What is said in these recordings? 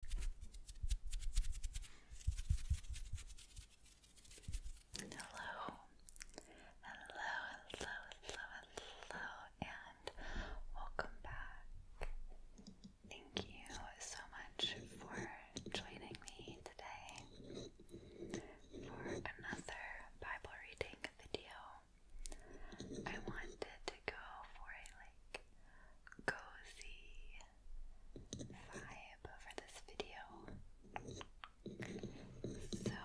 Hello, hello, hello, hello, hello, and welcome back. Thank you so much for joining me today for another Bible reading video. I wanted to go for a like cozy vibe for this video. So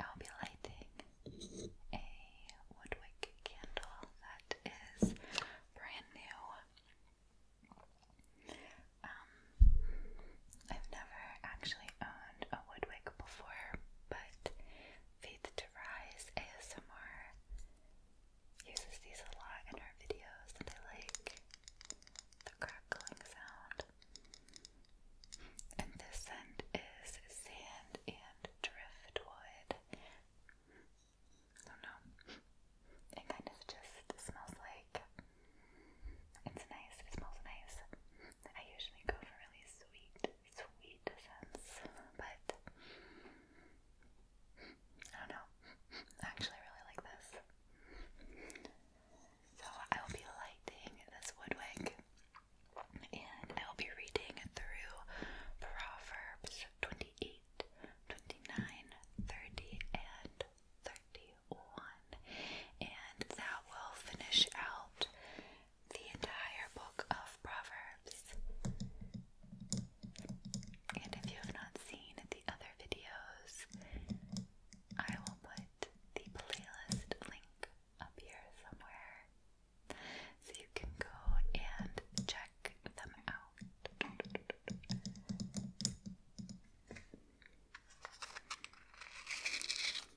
I'll be lighting a woodwick candle that is brand new. Um, I've never actually owned a woodwick before, but Faith to Rise ASMR uses these a lot in her videos, and I like the crackling sound. And this scent is sand and driftwood. Oh no. It kind of just smells like it's nice. It smells nice. I usually go for really sweet sweet sense, but I don't know. actually really like this. So I will be lighting this wood wig and I will be reading through Proverbs 28, and 31. And that will finish out the entire book of Proverbs. And if you have not seen the other videos, I will put the playlist link up here somewhere so you can go and check them out.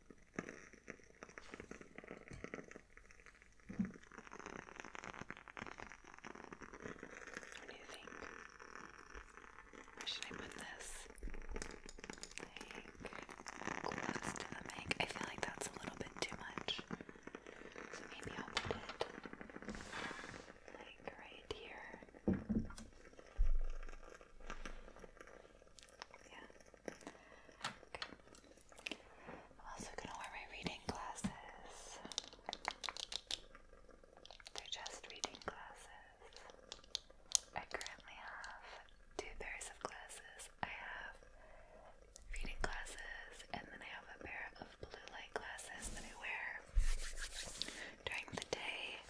What do you think? Where should I put this? Like close to the mic. I feel like that's a little bit too much. So maybe I'll put it like right here. I'm also gonna wear my reading glasses. They're just reading glasses. I currently have two pairs of glasses. I have reading glasses, and then I have a pair of blue light glasses that I wear during the day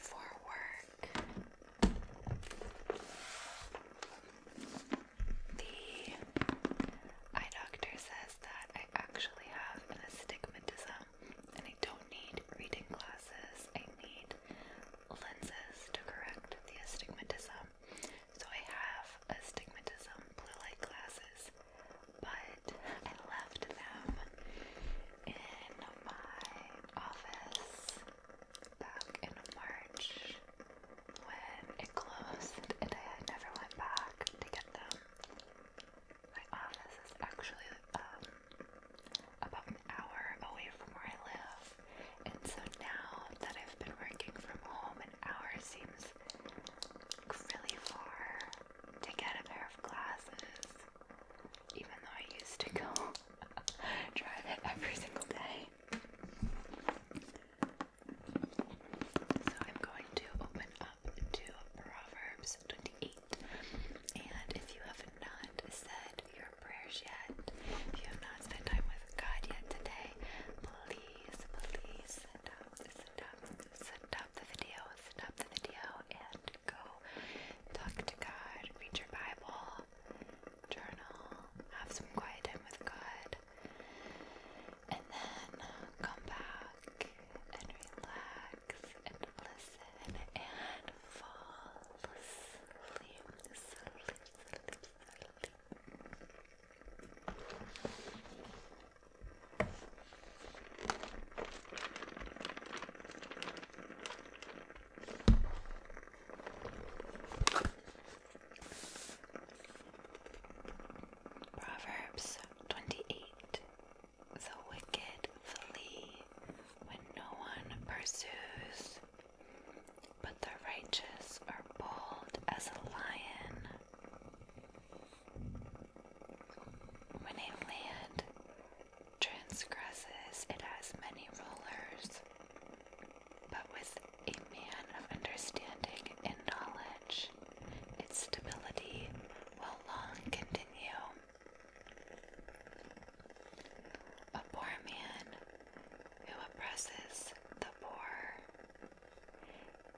for work. The eye doctor says that I actually have an astigmatism and I don't need reading glasses. I need lenses to correct the astigmatism. So I have astigmatism blue light glasses, but I left them in my office back in March when it closed and I never went back to get them. My office is actually um, about an hour away from where I live, and so now that I've been working from home, an hour seems really far to get a pair of glasses, even though I used to go Drive it every single day. So I'm going to open up to Proverbs 28. And if you have not said your prayers yet, if you have not spent time with God yet today, please, please stop, stop, stop the video, stop the video, and go talk to God, read your Bible, journal, have some quiet time with God, and then come back and relax and listen and fall asleep. Proverbs 28 The wicked flee when no one pursues, but the righteous are bold as a lion. When land transgresses, it has many rulers. But with a man of understanding and knowledge, its stability will long continue. A poor man who oppresses the poor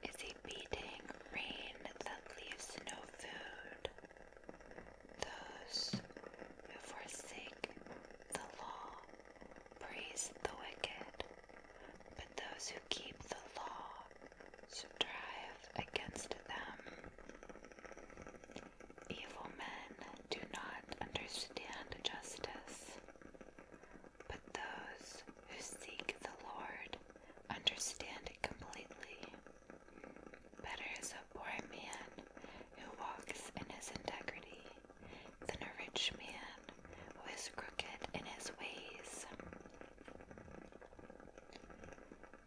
is a beating rain that leaves no food, those who forsake the law praise the wicked, but those who keep the law strive against them. Evil men do not understand justice, but those who seek the Lord understand it completely. Better is a poor man who walks in his integrity than a rich man who is crooked in his ways.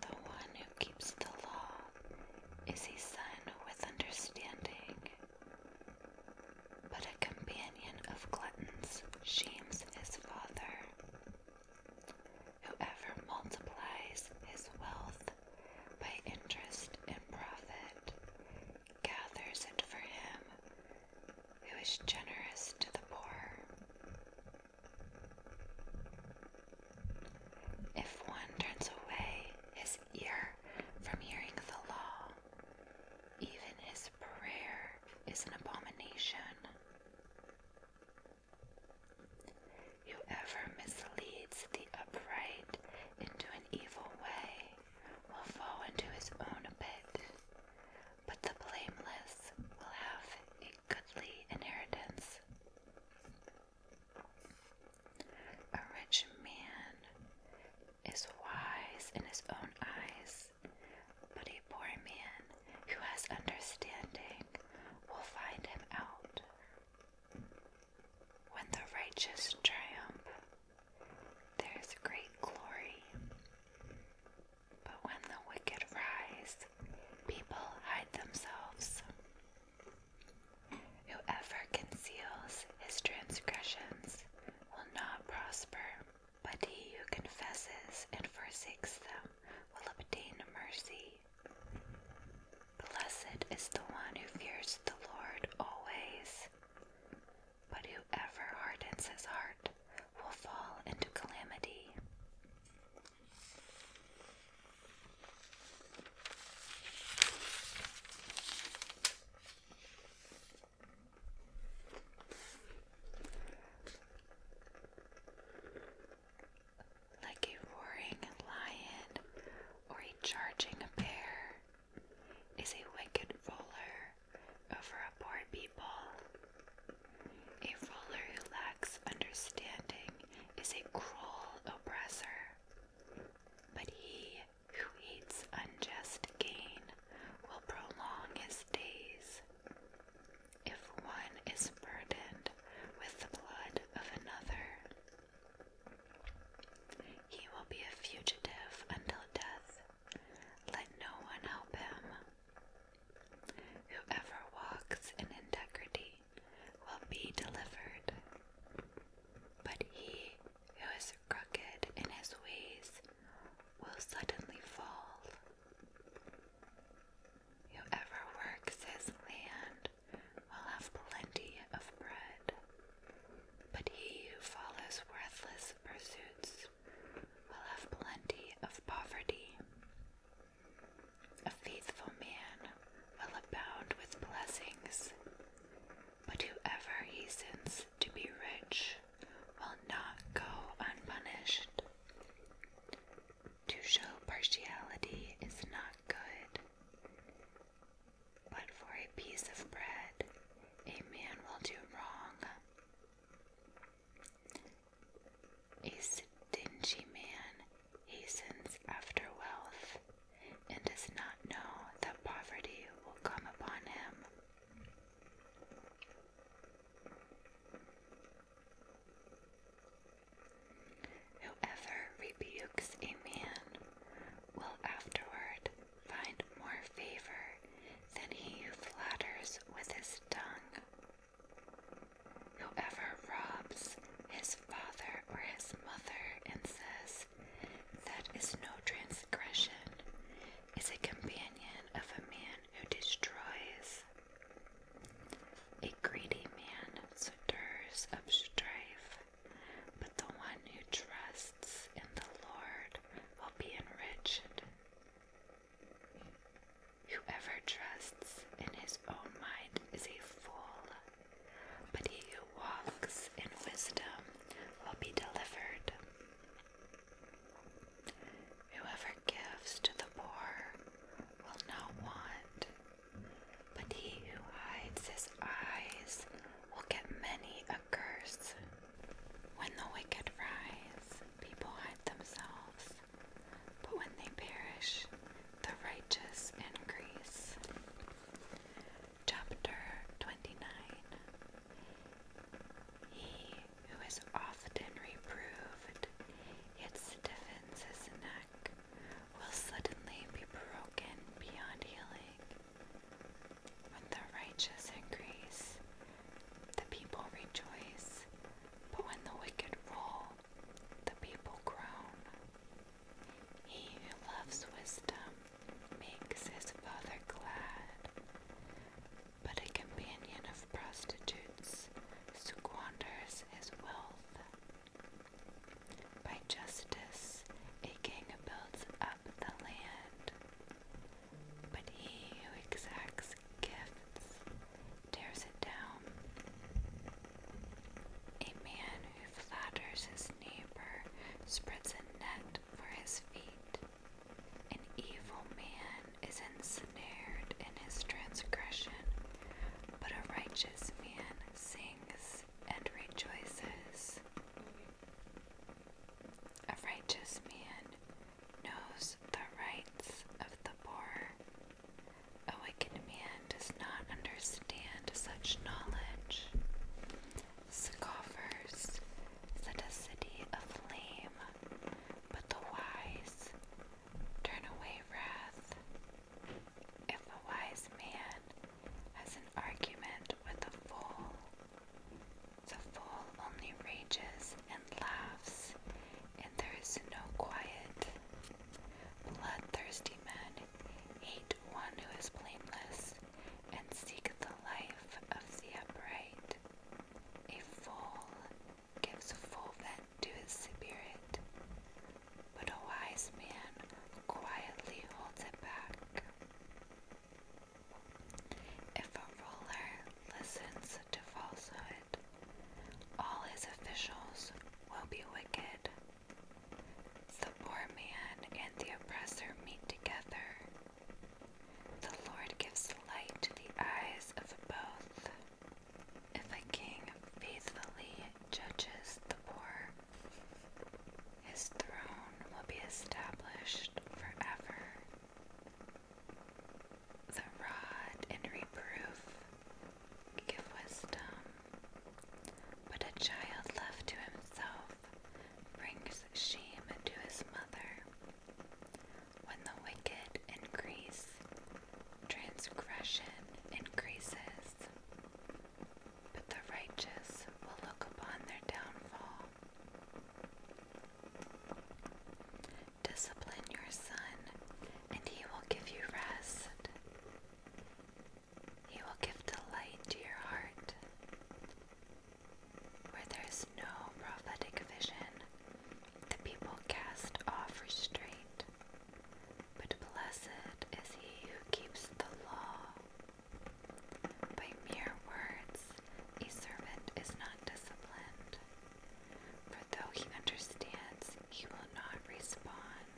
The one who keeps the law is his son with understanding, but a companion of gluttons shames his father. Whoever multiplies his wealth by interest and profit gathers it for him who is generous to the poor. If one turns away his ear from hearing the law, even his prayer is an abomination. Whoever misleads the upright into an evil way will fall into his own pit, but the blameless will have a goodly inheritance. A rich man is wise in his own eyes, but a poor man who has understanding will find him out. When the righteous triumph, there is great glory. But when the wicked rise, people hide themselves. Whoever conceals his transgressions will not prosper, but he who confesses and forsakes them will obtain mercy. Blessed is the one who fears the Lord always, but whoever hardens his heart will fall into calamity like a roaring lion or a charging bear, is a wicked ruler over a poor people. A ruler who lacks understanding is a cruel oppressor, but he who eats unjust gain will prolong his days. If one is burdened with the blood of another. He will be a fugitive until death. Let no one help him. Whoever walks in integrity will be delivered. But he who is crooked in his ways will suddenly fall. Whoever works his land will have plenty of bread, but he who follows worthless pursuits will have plenty of poverty. A faithful man will abound with blessings, but whoever hastens to be rich will not go unpunished. To show partiality is not good, but for a piece of bread a man will do wrong. A stingy man hastens after wealth and does not know that poverty will come upon him. Whoever rebukes a man will afterward find more favor than he who flatters with his tongue. Whoever robs his father or his mother and says, That is no transgression, is a companion of a man who destroys. A greedy man suitors of strife, but the one who trusts in the Lord will be enriched. Whoever trusts in his own mind is a fool, but he who walks in wisdom will be delivered. Whoever gives to the poor will not want, but he who hides his eyes will get many a curse. When the wicked rise, people hide themselves, but when they perish, the righteous increase. Chapter 29 He who is often reproved, yet stiffens his neck will suddenly be broken beyond healing. When the righteous increase, the people rejoice, but when the wicked roll, the people groan. He who loves wisdom makes his father glad, but a companion of prostitutes squanders his wealth. By justice a king builds up the land, but he who exacts gifts tears it down. A man who flatters his neighbor spreads a net for his feet. An evil man is ensnared in his transgression, but a righteous man sings and rejoices. A righteous man knows the rights of the poor. A wicked man does not understand such knowledge. Scoffers set a city aflame, but the wise Turn away wrath. If a wise man has an argument with a fool, the fool only rages and laughs, and there is no quiet. Bloodthirsty men hate one who is blameless and seek the life of the upright. A fool gives full vent to his spirit, but a wise man quietly holds it back. If a ruler listens to falsehood, all his officials will be wicked. The poor man and the oppressor meet together. The Lord gives light to the eyes of both. If a king faithfully judges the poor, his throne will be established forever. The rod and reproof give wisdom, but a child left to himself brings shame to his mother. When the wicked increase, transgression increases, but the righteous will look upon their downfall. Discipline your son, and he will give you rest. He will give delight to your heart. Where there is no prophetic vision, the people cast off restraint, but blessed is he who keeps the law. By mere words, a servant is not disciplined, for though he understands, he will not respond.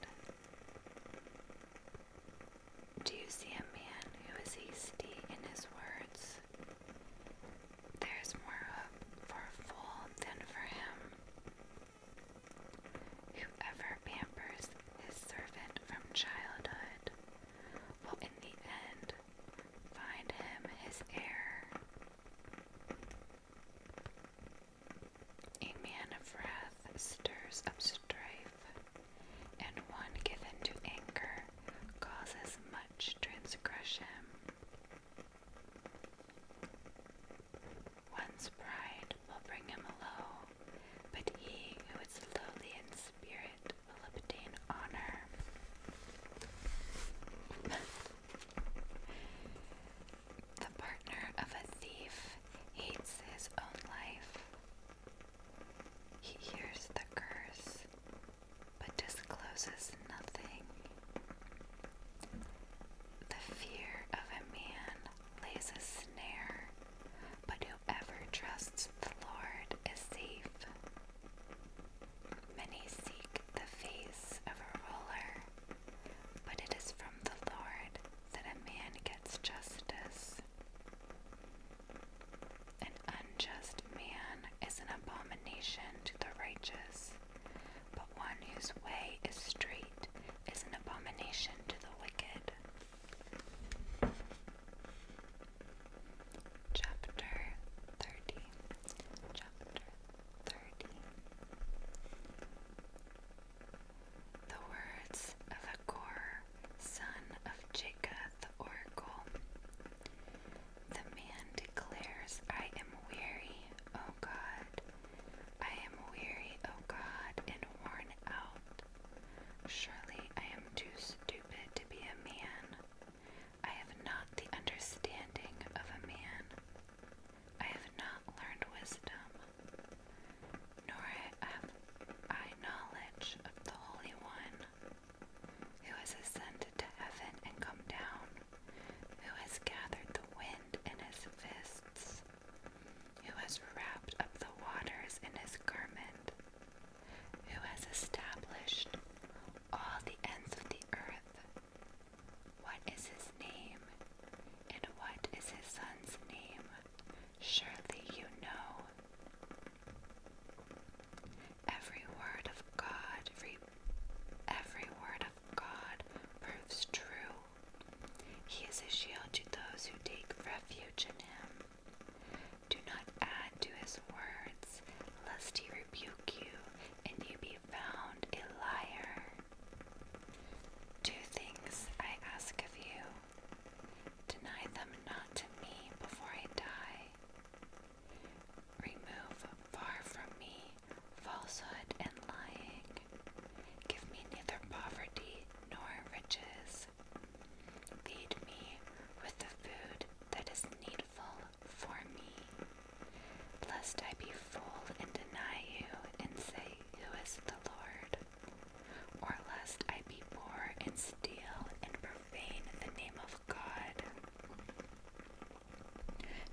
Do you see a man who is hasty in his words? there is more hope for a fool than for him. Whoever pampers his servant from childhood will in the end find him his heir. A man of wrath stirs up strife, and one given to anger causes much transgression. One's pride will bring him low, but he who is lowly in spirit will obtain honor. the partner of a thief hates his own life. He hears the curse but discloses nothing. The fear of a man lays a snare, but whoever trusts the Lord is safe. Many seek the face of a ruler, but it is from the Lord that a man gets justice. An unjust man is an abomination to the righteous, but one whose way is straight is an abomination to the wicked. Chapter 30. Chapter 30. The words of Achor, son of Jacob the oracle. The man declares, I am weary, O God. I am weary, O God, and worn out. Surely I am too stupid to be a man. I have not the understanding of a man. I have not learned wisdom, nor have I knowledge of the Holy One, who has ascended to heaven and come down, who has gathered the wind in his fists, who has wrapped up the waters in his garment, who has established all the ends of the earth. What is his name, and what is his son's name? Surely you know. Every word of God, every, every word of God proves true. He is a shield to those who take refuge in him. Do not add to his words, lest he rebuke you and you be found a liar. Two things I ask of you deny them not to me before I die. Remove far from me falsehood and lying. Give me neither poverty nor riches. Feed me with the food that is needful for me, lest I be full and deny you and say, Who is the Lord? Or lest I be poor and steal and profane the name of God.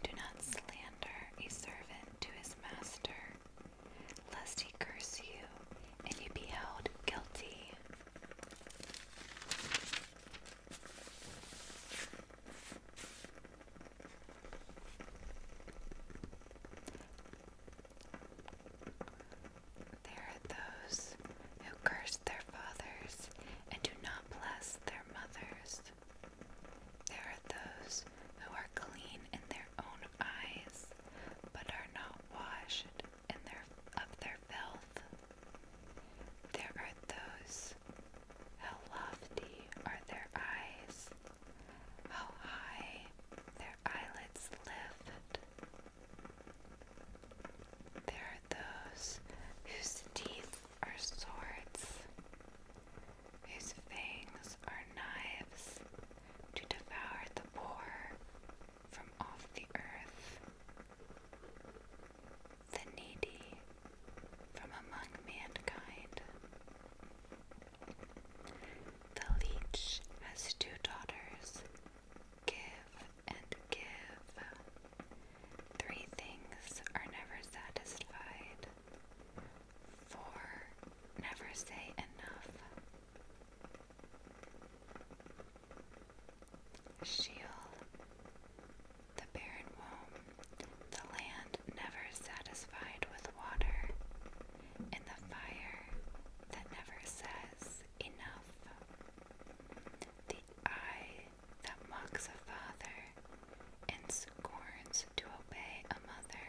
Do not slander a servant to his master, lest he curse you and you be held guilty. There are those who curse their fathers, and do not bless their mothers. There are those who are clean in their own eyes, but are not washed in their of their filth. There are those how lofty are their eyes, how high their eyelids lift. There are those whose teeth are swords. whose fangs are knives to devour the poor from off the earth, the needy from among mankind. The leech has two daughters, Give and give. Three things are never satisfied. Four, never say enough. Sheol, the barren womb, the land never satisfied with water, and the fire that never says enough. The eye that mocks a father and scorns to obey a mother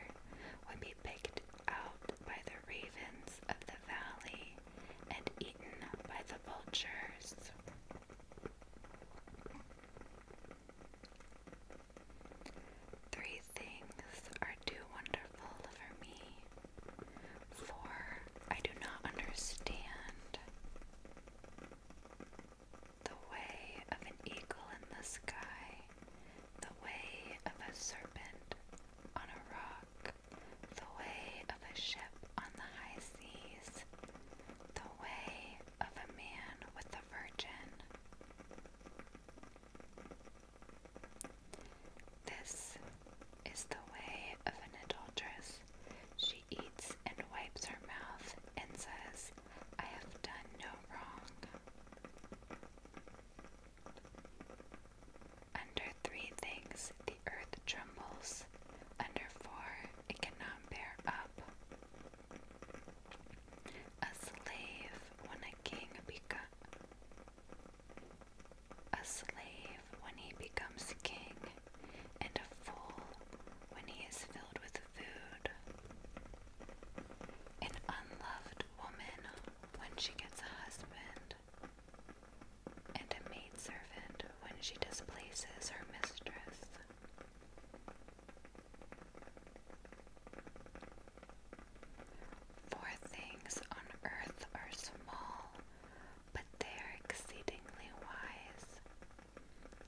would be picked out by the ravens of the valley and eaten by the vultures. Three things are too wonderful for me, for I do not understand. The way of an eagle in the sky, the way of a serpent on a rock, the way of a ship on the high seas, the way of a man with a virgin. This is the way of an adulteress. She eats and wipes her mouth and says, I have done no wrong. Under three things the earth trembles, under four it cannot bear up. A slave when a king becomes a slave when he becomes king and a fool when he is filled with food. An unloved woman when she gets a husband, and a maid servant, when she displaces her mistress. For things on earth are small, but they are exceedingly wise.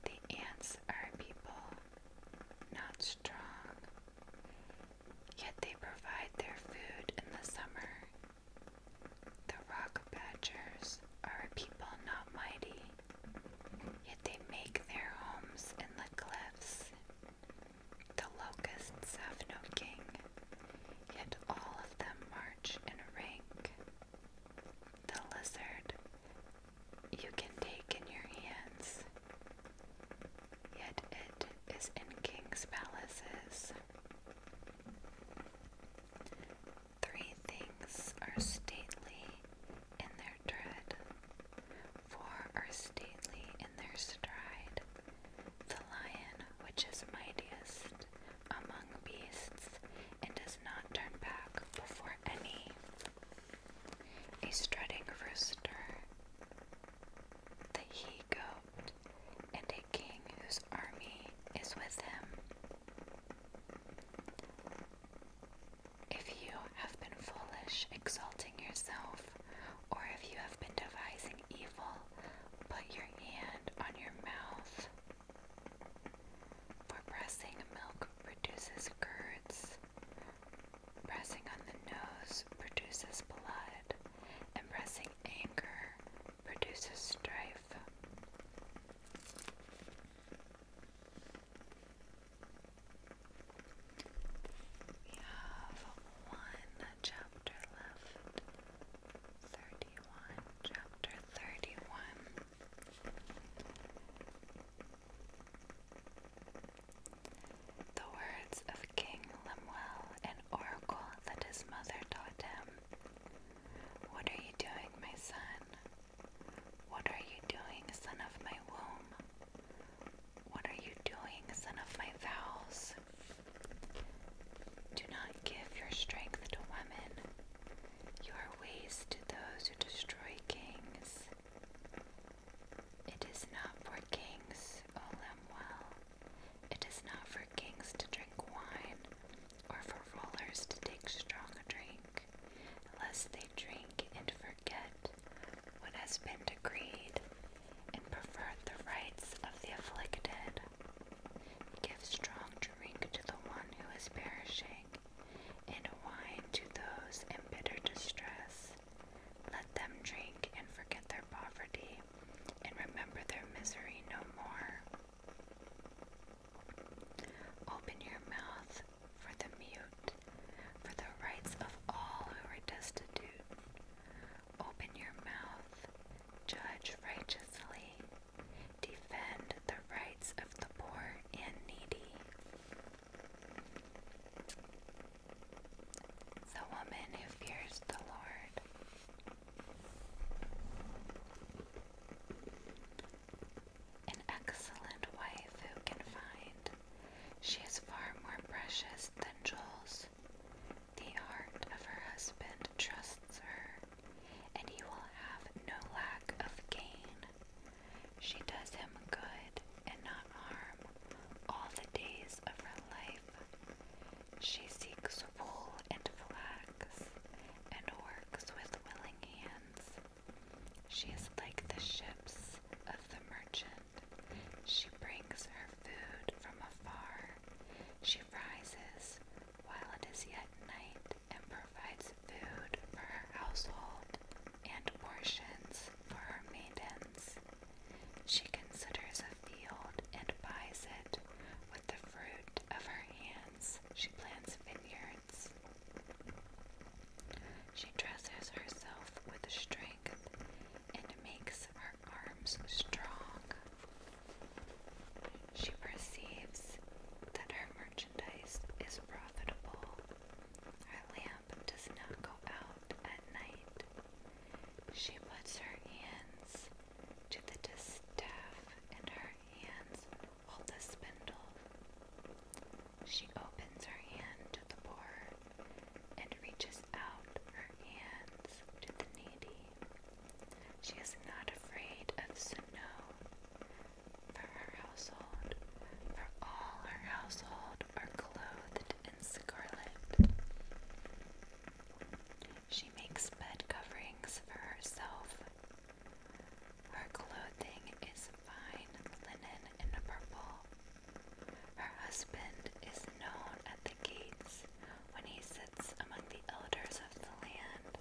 The ants are people, not strong, yet they provide their food in the summer. The rock badgers are people not mighty, yet they make their homes in the cliffs. The locusts have no king, yet all of them march in rank the lizard you can take in your hands, yet it is in kings' palaces. Three things are stately in their tread, four are stately in their stride. The lion, which is mightiest, among beasts and does not turn back before any. A strutting rooster, the he goat, and a king whose army is with him. If you have been foolish, exalting yourself, or if you have been devising evil, put your hand on your mouth. For pressing milk produces curds, pressing on the nose produces blood, and pressing anger produces strife. We have one chapter left, 31 chapter thirty-one. The words of King Lemuel, an oracle that his mother taught him. What are you doing, my son? What are you doing, son of my womb? What are you doing, son of my vows? Do not give your strength to women, your ways to those who destroy kings. It is not for kings, O Lemuel. It is not for kings to drink wine, or for rulers to take strong drink, lest they drink and forget what has been decreed, and pervert the rights of the afflicted. Give strong drink to the one who is perishing, and wine to those in bitter distress. Let them drink and forget their poverty, and remember their misery no more. Open your mouth for the mute, for the rights of all who are destitute. Open your mouth, judge righteously, Defend the rights of the poor and needy. The woman who fears the Lord. An excellent wife who can find. She is far more precious than jewels. The heart of her husband trusts her, and he will have no lack of gain. She does him good and not harm all the days of her life. She seeks wool and flax and works with willing hands. She is like the ships of the merchant. She brings her food from afar. She rises while it is yet night and provides food for her household and portions for her maidens. She considers a field and buys it with the fruit of her hands. She plants vineyards. She dresses herself with strength and makes her arms strong. She perceives that her merchandise is profitable. Her lamp does not go out at night. She puts her hands to the distaff, and her hands hold the spindle. She opens her hand to the poor and reaches out her hands to the needy. She is not afraid of snow. For her household, for all her household are clothed in scarlet. She makes bed coverings for herself. Her clothing is fine linen and purple. Her husband is known at the gates when he sits among the elders of the land.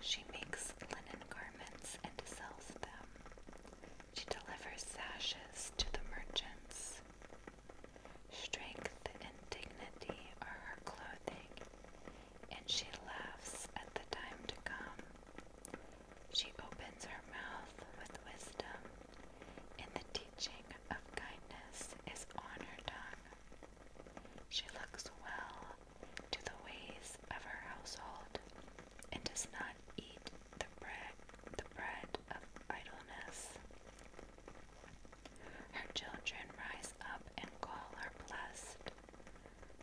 She makes linen garments and sells them. She delivers sashes to the merchants. Strength and dignity are her clothing, and she laughs at the time to come. She opens her mouth with wisdom, and the teaching of kindness is on her tongue. She looks well to the ways of her household and does not eat the bread, the bread of idleness. Her children rise up and call her blessed.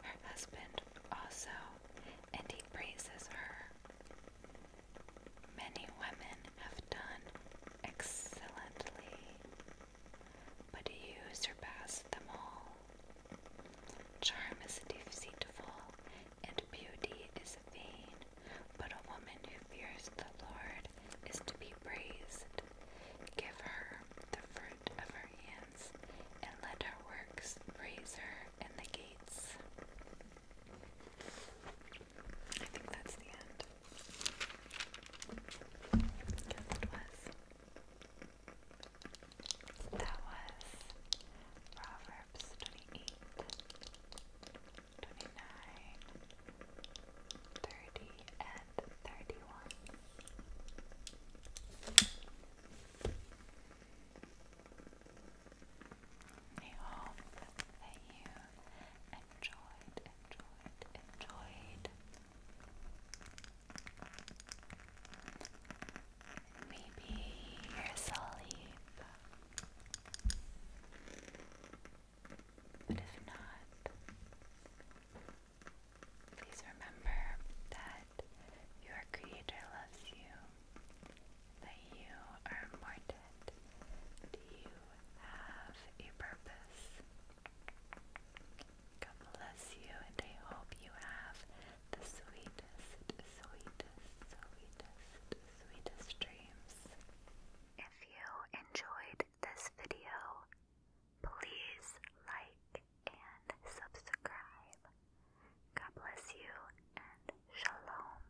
Her husband also, and he praises her. Many women have done excellently, but you surpass them all. Charm is deceitful, and beauty is vain, but a woman who fears the Lord is to be praised. Give her the fruit of her hands, and let her works praise her in the gates. I think that's the end. Yes, was. That was Proverbs 28, and 31. I hope that you enjoyed, enjoyed, enjoyed. Maybe you're asleep. But if not, please remember that your Creator loves you, that you are important. Do you have a purpose? God bless you, and I hope you have the sweetest, sweetest, sweetest, sweetest dreams. If you enjoyed this video, please like and subscribe. God bless you, and shalom.